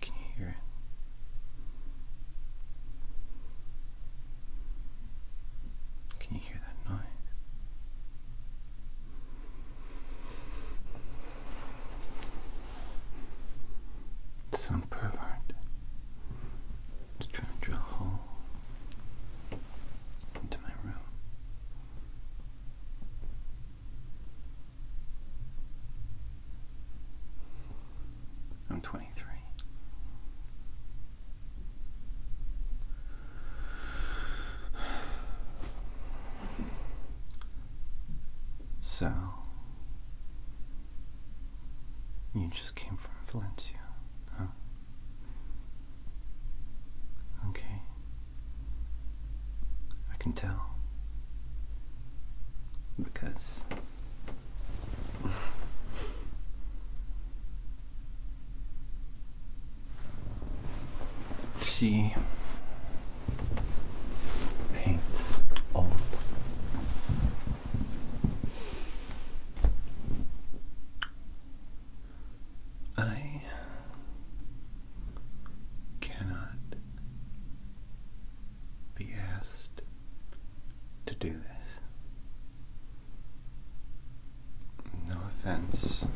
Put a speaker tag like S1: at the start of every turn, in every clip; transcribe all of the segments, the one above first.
S1: Can you hear it? Can you hear that noise? Some pervert is trying to drill a hole into my room. I'm 23. So, you just came from Valencia, huh? Okay. I can tell. Because she paints old. I cannot be asked to do this. No offense.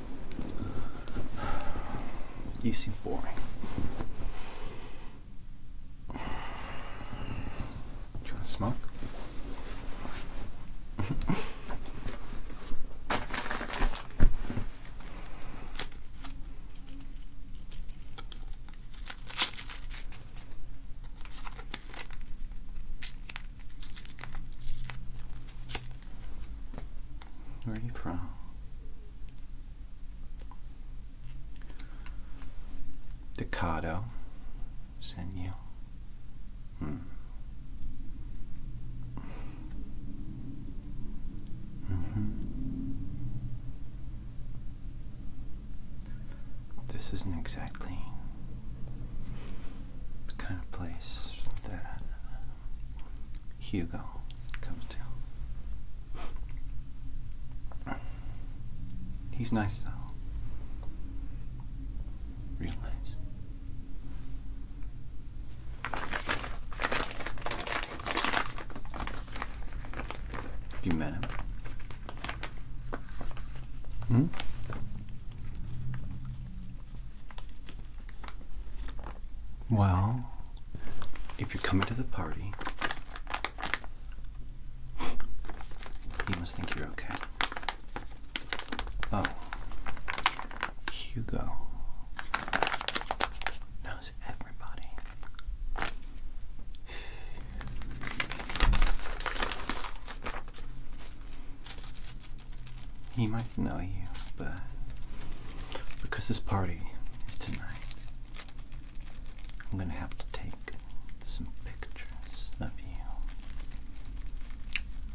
S1: You seem boring. Do you want to smoke? Where are you from? Decado, Senio. Hmm. Mm -hmm. This isn't exactly the kind of place that um, Hugo comes to. He's nice though. Real nice. You met him. Hmm? Well, if you're coming to the party, you must think you're okay. Oh, Hugo knows everybody. He might know you, but because this party is tonight, I'm gonna have to take some pictures of you.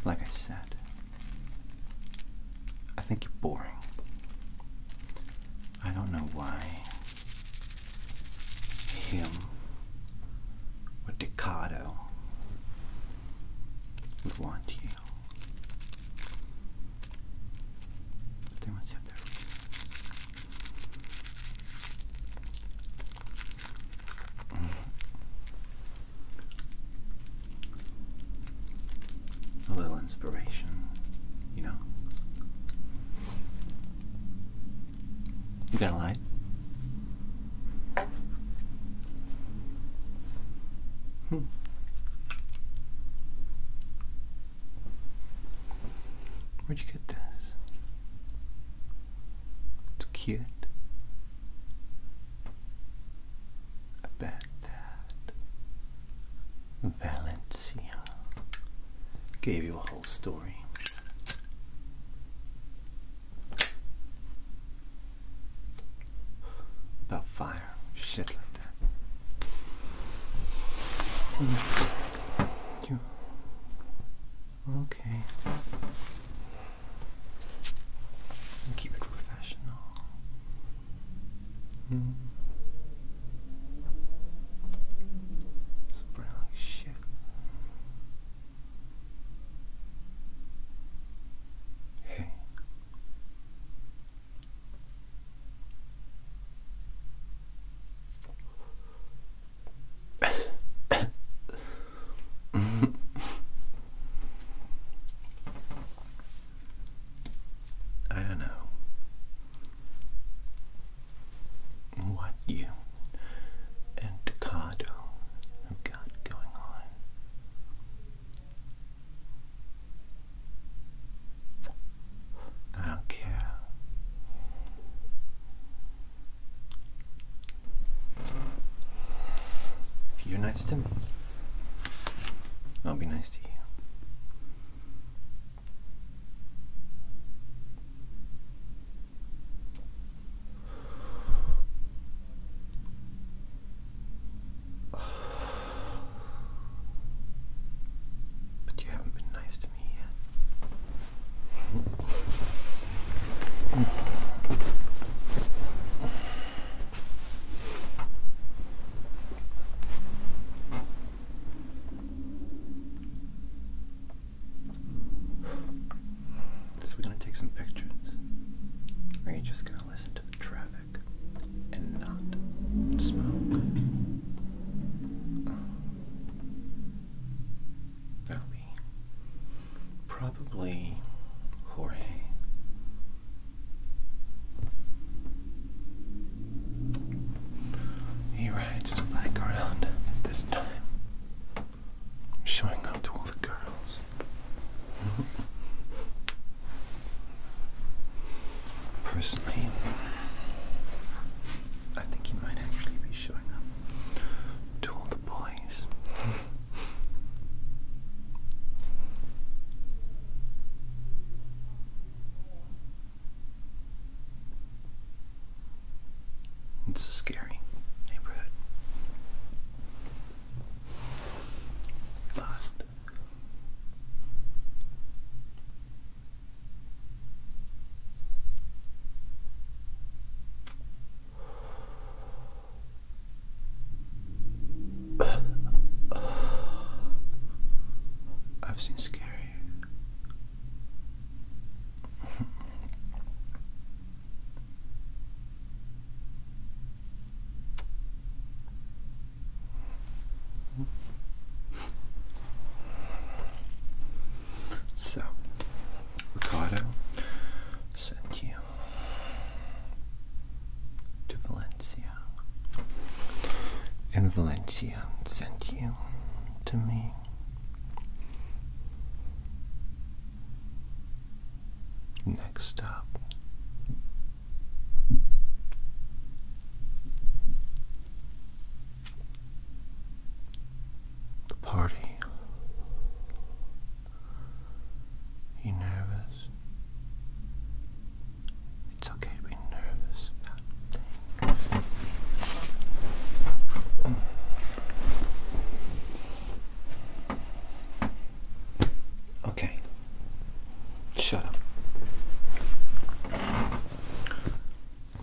S1: Like I said, I think you're boring. I don't know why him or Decado would want you. they must have their reason. A little inspiration, you know. You gonna lie? Hmm. Where'd you get this? It's cute. I bet that Valencia gave you a story. About fire, shit like that. Hmm. okay. keep it professional. Mm. It's brown shit. Hey. I don't know what you and Ducato have got going on. I don't care. If you're nice to me, I'll be nice to you. But you haven't been nice to me yet. So we're gonna take some pictures. Or are you just gonna listen to the traffic and not smoke? Oh. That'll be probably Jorge. He rides his bike around this time, showing up to all the girls. Personally, I think he might actually be showing up to all the boys. It's a scary neighborhood. But I've seen scary so, Ricardo sent you to Valencia, and Valencia sent you to me. Next stop, the party. You nervous? It's okay to be nervous. Okay. Shut up.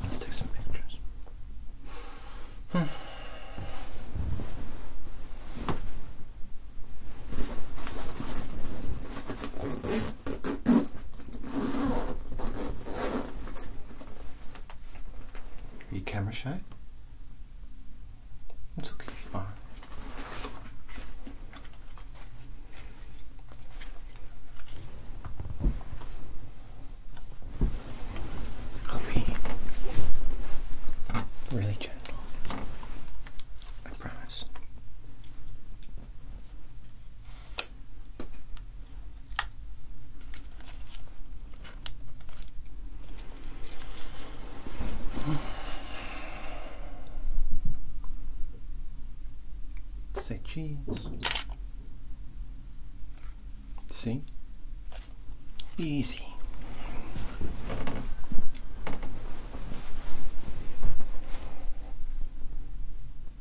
S1: Let's take some pictures. Hmm. Are you camera shy? It's okay if I'll be really gentle. I promise. Say cheese. See? Easy.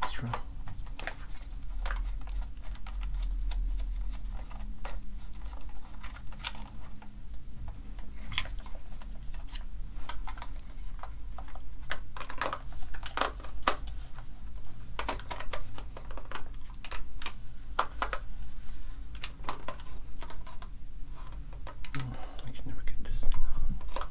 S1: Let's I can never get this thing on.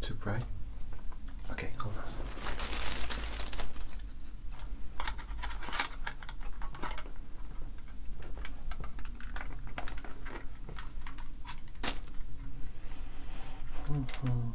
S1: Too bright? Okay, hold on.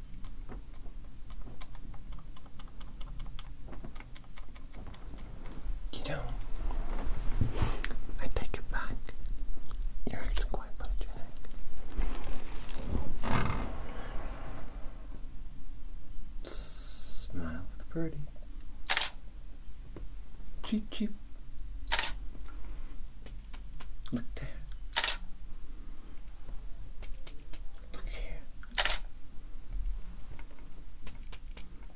S1: You know, I take it back. You're actually quite photogenic. Smile for the birdie. Cheep cheep. Look there. Look here.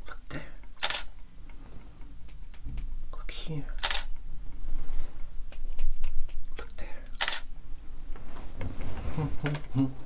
S1: Look there. Look here. Look there.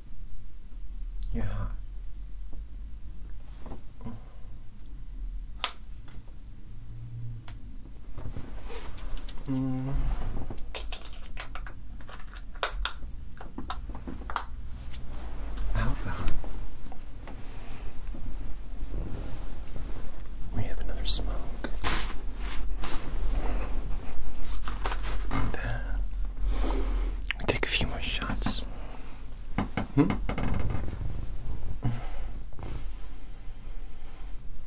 S1: Mm. You're hot. We have another smoke. That we take a few more shots. Hmm?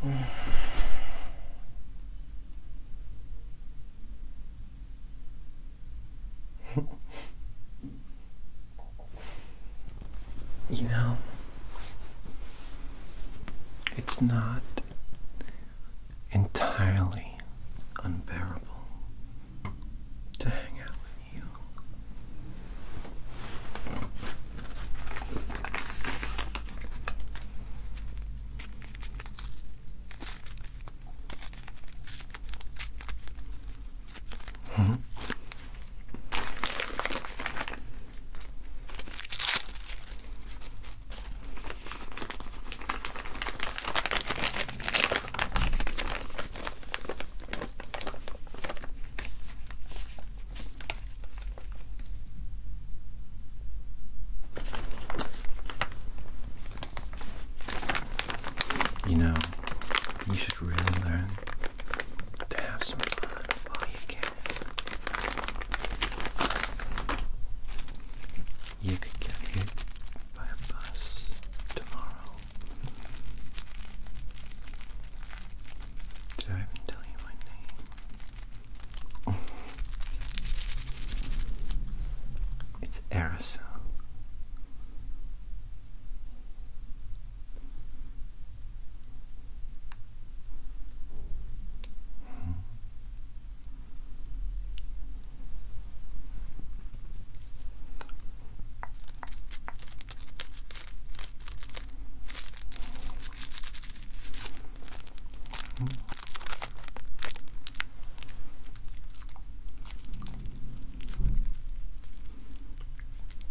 S1: you know, it's not entirely unbearable to hang out with you. Hmm? You know, you should really learn to have some fun while you can you could get hit by a bus tomorrow. Did I tell you my name? It's Arisa.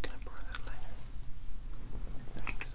S1: Can I borrow that lighter? Thanks.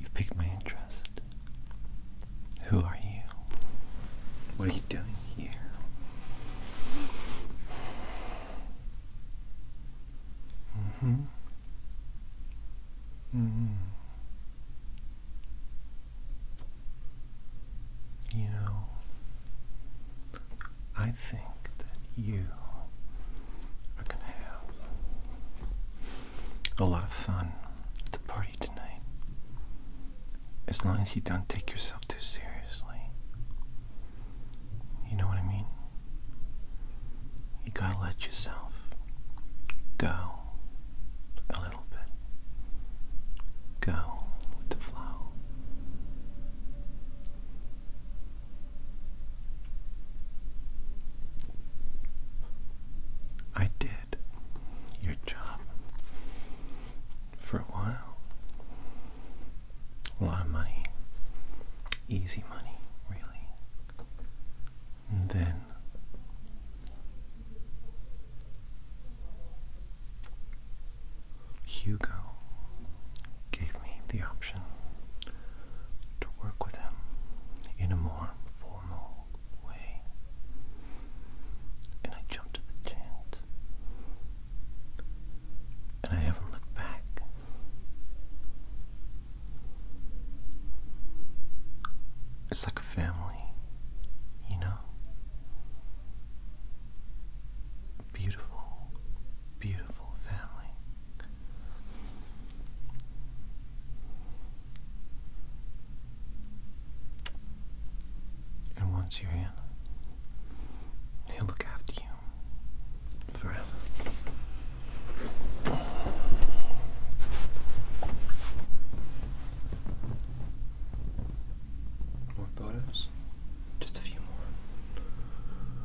S1: You piqued my interest. Who are you? What are you doing here? hmm hmm You know, I think that you are going to have a lot of fun at the party tonight. As long as you don't take yourself too seriously. You know what I mean? You gotta let yourself go a little bit. Go with flow. I did your job for a while. A lot of money. Easy money, really. And then Hugo gave me the option to work with him in a more formal way. And I jumped at the chance. And I haven't looked back. It's like a family, you know? Beautiful, beautiful family. And once you're in, he'll look after you forever. More photos? Just a few more.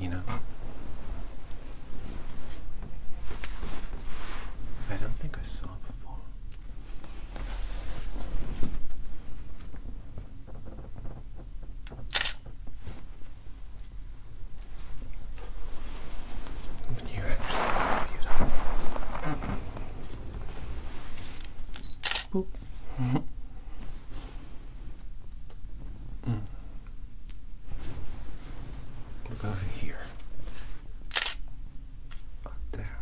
S1: You know? I don't think I saw before. you actually Boop. mm. Look over here. Up there.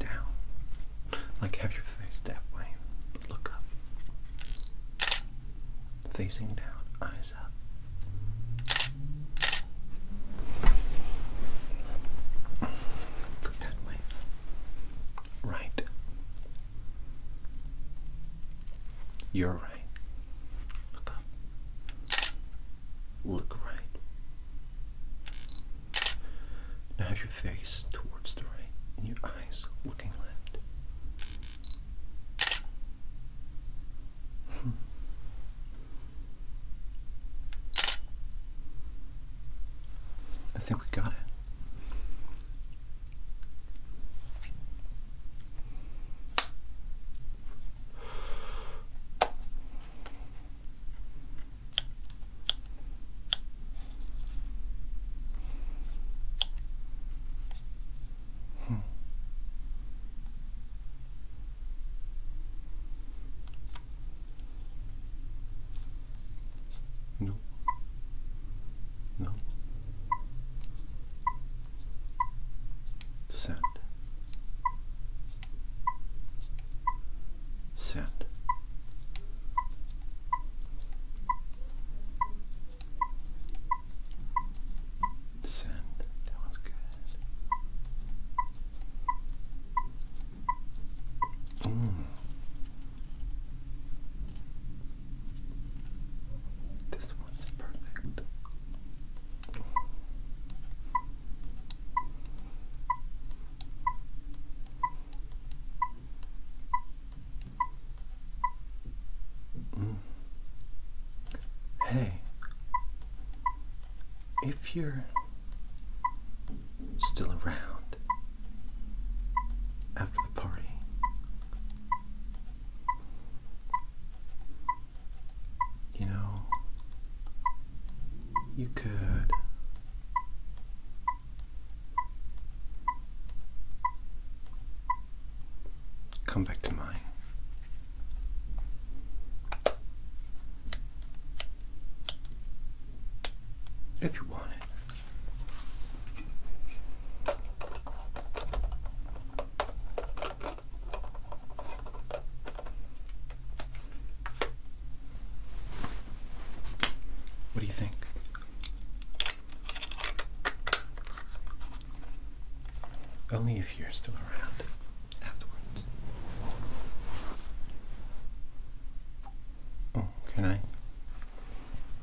S1: Down. Like have your face that way, but look up. Facing down, eyes up. Look that way. Right. You're right. Look up. Look right. Now have your face towards the right and your eyes looking left. I think we got it. Hmm. No. No. Send. Send. Send. That one's good. Mm. This one perfect. Mm. Hey, if you're still around after the party, you know, you could come back to mine. If you want it. What do you think? Only if you're still around afterwards. Oh, can I?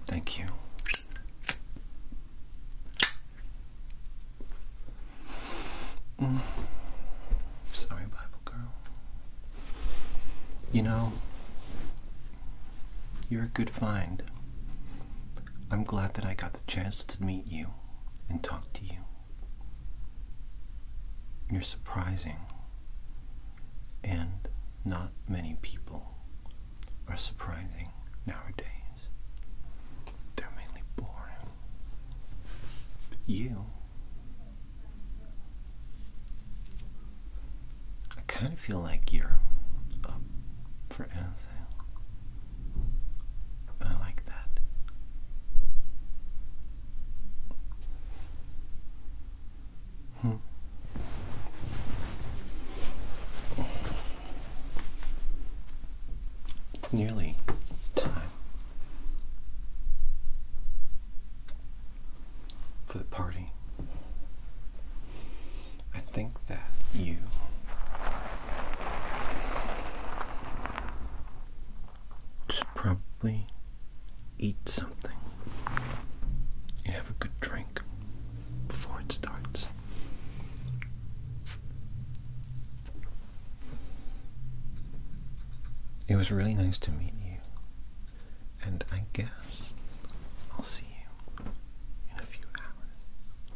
S1: Thank you. Mm. Sorry, Bible girl. You know, you're a good find. I'm glad that I got the chance to meet you and talk to you. You're surprising, and not many people are surprising nowadays. They're mainly boring. But you. I kind of feel like you're uh, for anything. I like that. Hmm. Nearly time for the party. I think that you should probably eat something and have a good drink before it starts. It was really nice to meet you, and I guess I'll see you in a few hours.